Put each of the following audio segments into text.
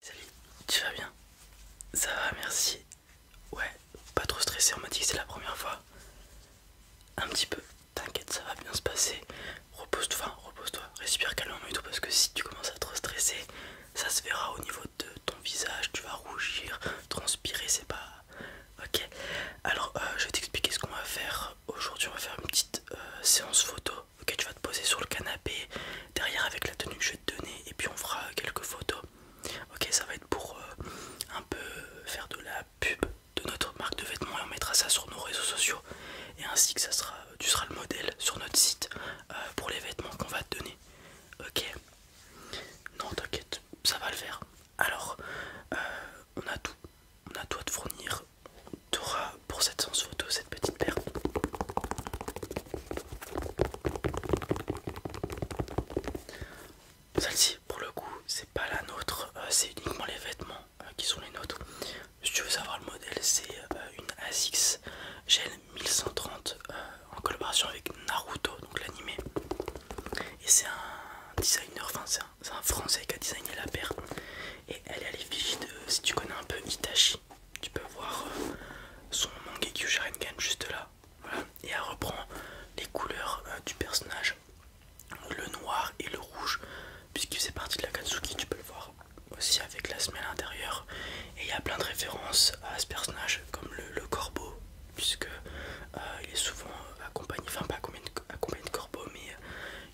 Salut, tu vas bien Ça va, merci. Ouais, pas trop stressé, on m'a dit que c'est la première fois. Un petit peu, t'inquiète, ça va bien se passer. Repose-toi, enfin, repose-toi, respire calmement et tout parce que si tu commences à trop stresser, ça se verra au niveau de ton visage, tu vas rougir, transpirer, c'est pas... Ok, alors euh, je vais t'expliquer ce qu'on va faire aujourd'hui. On va faire une petite euh, séance photo Ok, tu vas te poser sur le canapé derrière avec la tenue que je vais te donner et puis on fera quelques photos. Ok, ça va être pour euh, un peu faire de la pub de notre marque de vêtements et on mettra ça sur nos réseaux sociaux et ainsi que ça sera, tu seras le modèle sur notre site euh, pour les vêtements qu'on va te donner. Ok, non t'inquiète, ça va le faire. Alors, euh, on a tout, on a tout à te fournir. T'auras pour cette sens photo, cette petite paire. Celle-ci, pour le coup, c'est pas la nôtre, euh, c'est uniquement les vêtements euh, qui sont les nôtres. Si tu veux savoir le modèle, c'est euh, une ASICS Gel 1130 en collaboration avec Naruto, donc l'animé. Et c'est un designer, enfin c'est un, français qui a designé la paire. Et elle est à l'effigie de, si tu connais un peu Itachi tu peux voir euh, son Mangekyu Sharingan juste là. Et elle reprend les couleurs euh, du personnage, le noir et le rouge, puisqu'il faisait partie de la Katsuki, tu peux le voir aussi avec la semelle intérieure. Et il y a plein de références à ce personnage, comme le, corbeau, puisque euh, il est souvent accompagné, enfin pas accompagné de, corbeau, mais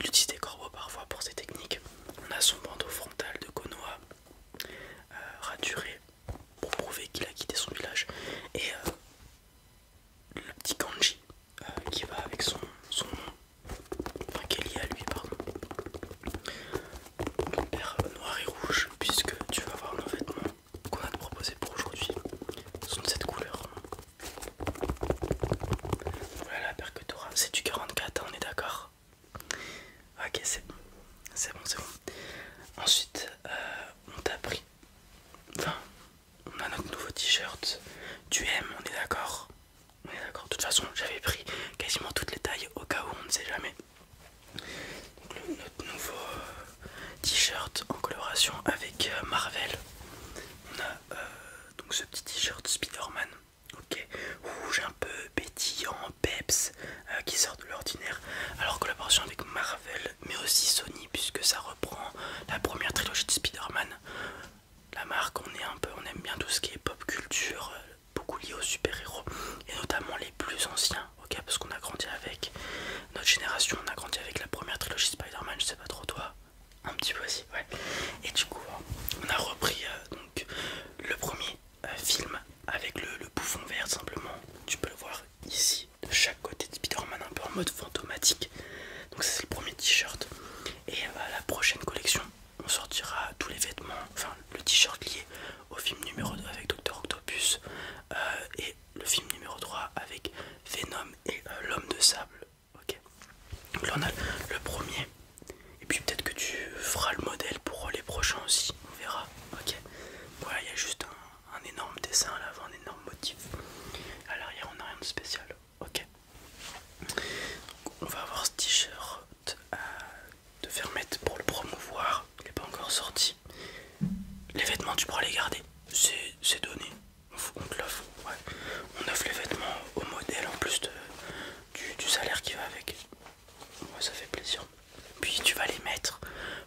il utilise des corbeaux parfois pour ses techniques. On a son bandeau frontal de Konoha euh, raturé pour prouver qu'il a quitté son village et euh, le petit kanji euh, qui va avec son, nom, enfin qui est lié à lui pardon, donc paire noir et rouge puisque tu vas voir nos vêtements qu'on a te proposé pour aujourd'hui sont de cette couleur. Voilà la paire que tu auras, c'est du 44, hein, on est d'accord ok c'est bon c'est bon c'est bon ensuite euh, on t'a pris enfin on a notre nouveau t-shirt tu aimes on est d'accord on est d'accord de toute façon j'avais pris quasiment toutes les tailles au cas où on ne sait jamais donc notre nouveau euh, t-shirt en collaboration avec euh, Marvel on a donc ce petit t-shirt Spider-Man Ok, rouge un peu bétillant, peps, euh, qui sort de l'ordinaire. Alors collaboration avec Marvel, mais aussi Sony, puisque ça reprend la première trilogie de Spider-Man. La marque, on est un peu, on aime bien tout ce qui est pop culture, euh, beaucoup lié aux super-héros, et notamment les plus anciens, ok, parce qu'on a grandi avec notre génération, on a grandi avec la première trilogie Spider-Man, je sais pas trop toi, un petit peu aussi, ouais. Et du coup, on a repris euh, donc le premier film avec le, bouffon vert simplement. Tu peux le voir ici de chaque côté de Spider-Man un peu en mode fantomatique. Donc ça c'est le premier t-shirt. Et à euh, la prochaine collection, on sortira tous les vêtements, enfin le t-shirt lié au film numéro 2 avec Docteur Octopus euh, et le film numéro 3 avec Venom et euh, l'homme de sable. Ok. Donc là on a le premier et puis peut-être que tu feras le modèle pour les prochains aussi, on verra. Ok. Voilà, il y a juste un, énorme dessin à l'avant, un énorme motif. À l'arrière, on n'a rien de spécial. Ok. On va avoir ce t-shirt euh, de mettre pour le promouvoir. Il n'est pas encore sorti. Les vêtements, tu pourras les garder. C'est donné. On, te l'offre. Ouais. On offre les vêtements au modèle en plus du salaire qui va avec ça fait plaisir. Puis tu vas les mettre,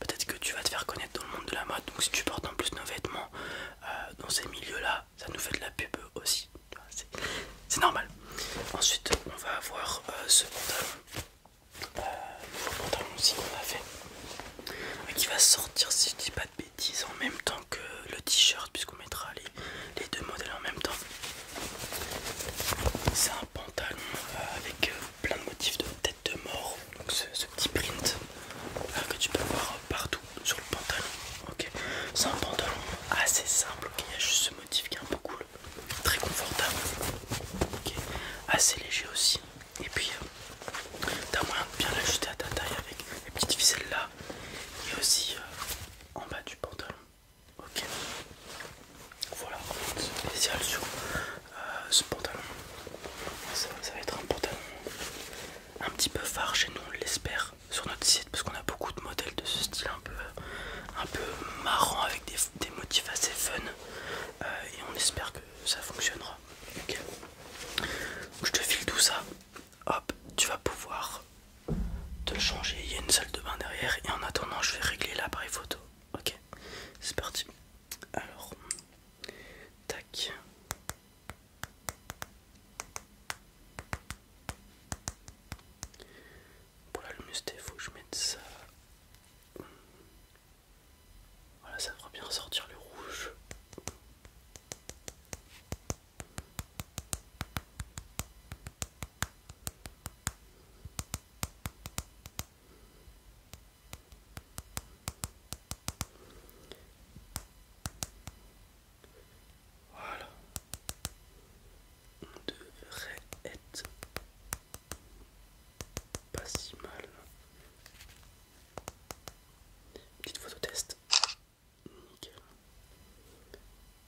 peut-être que tu vas te faire connaître dans le monde de la mode. Donc si tu portes en plus nos vêtements euh, dans ces milieux-là, ça nous fait de la pub aussi. C'est normal. Ensuite, on va avoir euh, ce pantalon. Euh, pantalon aussi qu'on a fait qui va sortir si je dis pas de bêtises en même temps que le t-shirt puisqu'on mettra les les deux modèles en même temps. C'est un pantalon euh, avec euh, plein de motifs de tête de mort, donc ce, petit print euh, que tu peux voir partout sur le pantalon. C'est un pantalon assez simple, il y a juste ce motif qui est un peu cool, très confortable, assez léger aussi. Et puis tu t'as moyen de bien l'ajuster à ta taille avec les petites ficelles là et aussi en bas du pantalon. Ok. Voilà spécial sur euh, ce pantalon. Ça, va être un pantalon un petit peu phare chez nous, on l'espère, sur notre site parce qu'on a beaucoup de modèles de ce style un peu, un peu marrant avec des, motifs assez fun euh, et on espère que ça fonctionnera. Ok. je te file tout ça. Hop, tu vas pouvoir de changer. Il y a une salle de bain derrière et en attendant, je vais régler l'appareil photo. Ok, c'est parti. Alors, tac. Pour la lumière faut que je mette ça. Voilà, ça devrait bien sortir le rouge. Voilà. On devrait être euh, pas si mal. Petite photo test. Nickel.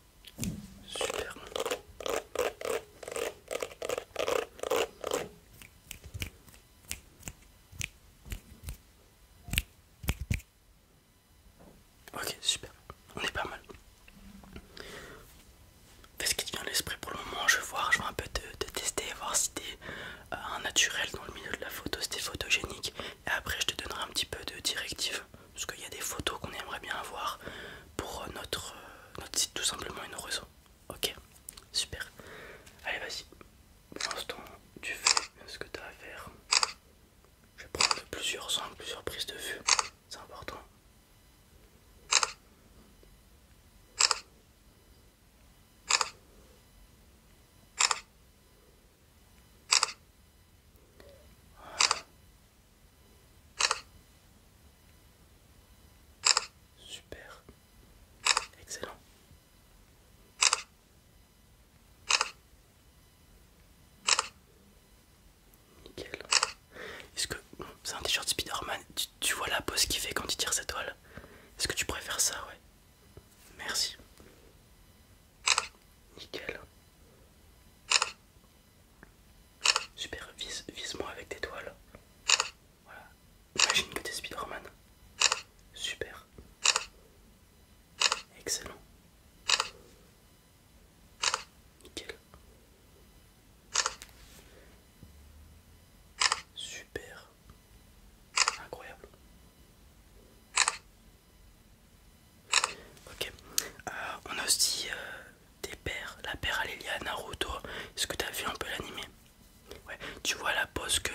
Super. Ok, super. On est pas mal. Qu'est-ce qui te vient à l'esprit pour le moment Je vais voir, je vais un peu de tester, voir si t'es euh, un naturel dans le milieu de la photo, si t'es photogénique, et après je te donnerai un petit peu de directives parce qu'il y a des photos qu'on aimerait bien avoir pour euh, notre, euh, notre site tout simplement et nos réseaux. Ok, super. Allez vas-y. Pour l'instant tu fais ce que tu as à faire. Je vais prendre plusieurs angles, plusieurs prises de vue. C'est important. Super. Excellent. Nickel. Est-ce que c'est un t-shirt Spider-Man tu, vois la pose qu'il fait quand il tire sa toile Est-ce que tu préfères ça Ouais. Merci. Nickel. Super, vise, moi avec tes toiles. Voilà. Imagine que t'es Spider-Man. Super. Excellent. Nickel. Super. Incroyable. Ok. Euh, on a aussi euh, des pères. La paire à Naruto. Est-ce que tu as vu un peu l'animé Ouais. Tu vois la pose que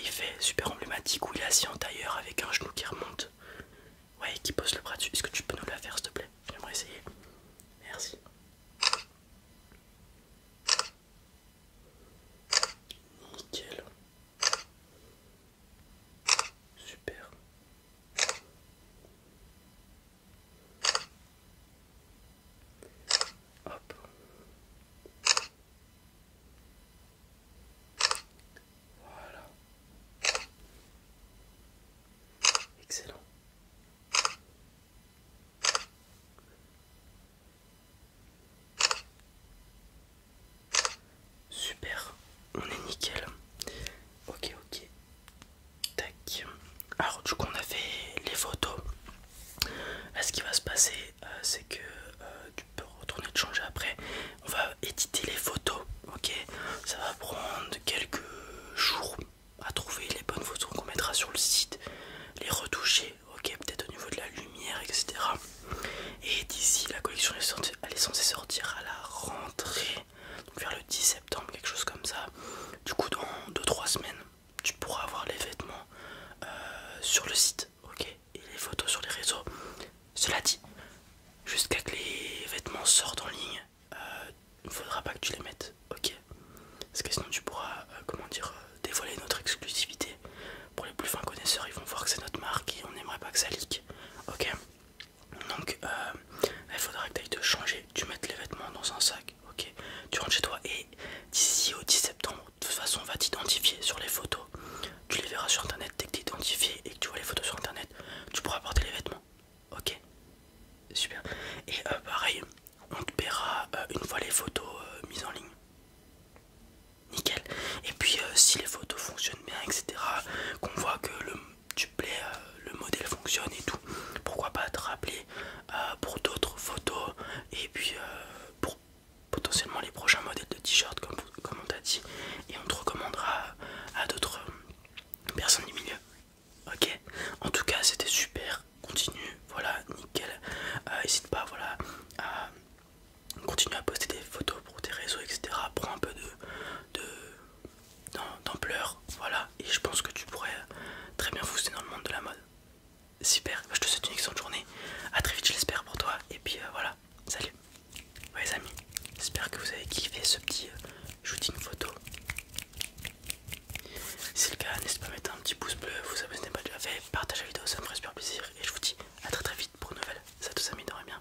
il fait, super emblématique, où il est assis en tailleur avec un genou qui remonte. Ouais, qui pose le bras dessus. Est-ce que tu peux nous la faire s'il te plaît J'aimerais essayer. Merci. Nickel. Super. Voilà. Excellent. Super, on est nickel. Ok, ok. Tac. Alors du coup on a fait les photos. Là ce qui va se passer euh, c'est que euh, tu peux retourner te changer après. On va éditer les photos. Ok. Ça va prendre quelques jours à trouver les bonnes photos qu'on mettra sur le site. Les retoucher. Ok. Peut-être au niveau de la lumière, etc. Et d'ici la collection elle est censée sortir à la rentrée vers le 10 septembre, quelque chose comme ça. Du coup, dans 2-3 semaines, tu pourras avoir les vêtements euh, sur le site, ok, et les photos sur les réseaux. Cela dit, jusqu'à que les vêtements sortent en ligne, euh, il ne faudra pas que tu les mettes, ok Parce que sinon, tu pourras, euh, comment dire, dévoiler notre exclusivité. Pour les plus fins connaisseurs, ils vont voir que c'est notre marque et on n'aimerait pas que ça leak, ok donc, euh, il faudra que tu ailles te changer, tu mettes les vêtements dans un sac, ok Tu rentres chez toi et d'ici au 10 septembre, de toute façon, on va t'identifier sur les photos. Tu les verras sur internet. Dès que tu identifié et que tu vois les photos sur internet, tu pourras porter les vêtements, ok Super. Et euh, pareil, on te paiera euh, une fois les photos mises en ligne. Nickel. Et puis, si les photos fonctionnent bien, etc., qu'on voit que le tu plais, euh, le modèle fonctionne et tout. Pourquoi pas te rappeler euh, pour d'autres photos et puis euh, pour potentiellement les prochains modèles de t-shirt comme, comme on t'a dit et on te recommandera à, d'autres personnes du milieu. Ok En tout cas c'était super, continue, voilà, nickel. N'hésite pas voilà à continuer à poster des photos pour tes réseaux etc. Prends un peu de, de d'ampleur, voilà, et je pense que tu pourrais très bien fousser dans le monde de la mode. Super, bah, je te souhaite une excellente journée, à très vite je l'espère pour toi, et puis euh, voilà, salut les amis, j'espère que vous avez kiffé ce petit euh, shooting photo. Si c'est le cas, n'hésitez pas à mettre un petit pouce bleu, vous abonnez pas bah, déjà fait, partagez la vidéo, ça me ferait super plaisir, et je vous dis à très très vite pour une nouvelle. ça tous amis, dormez bien,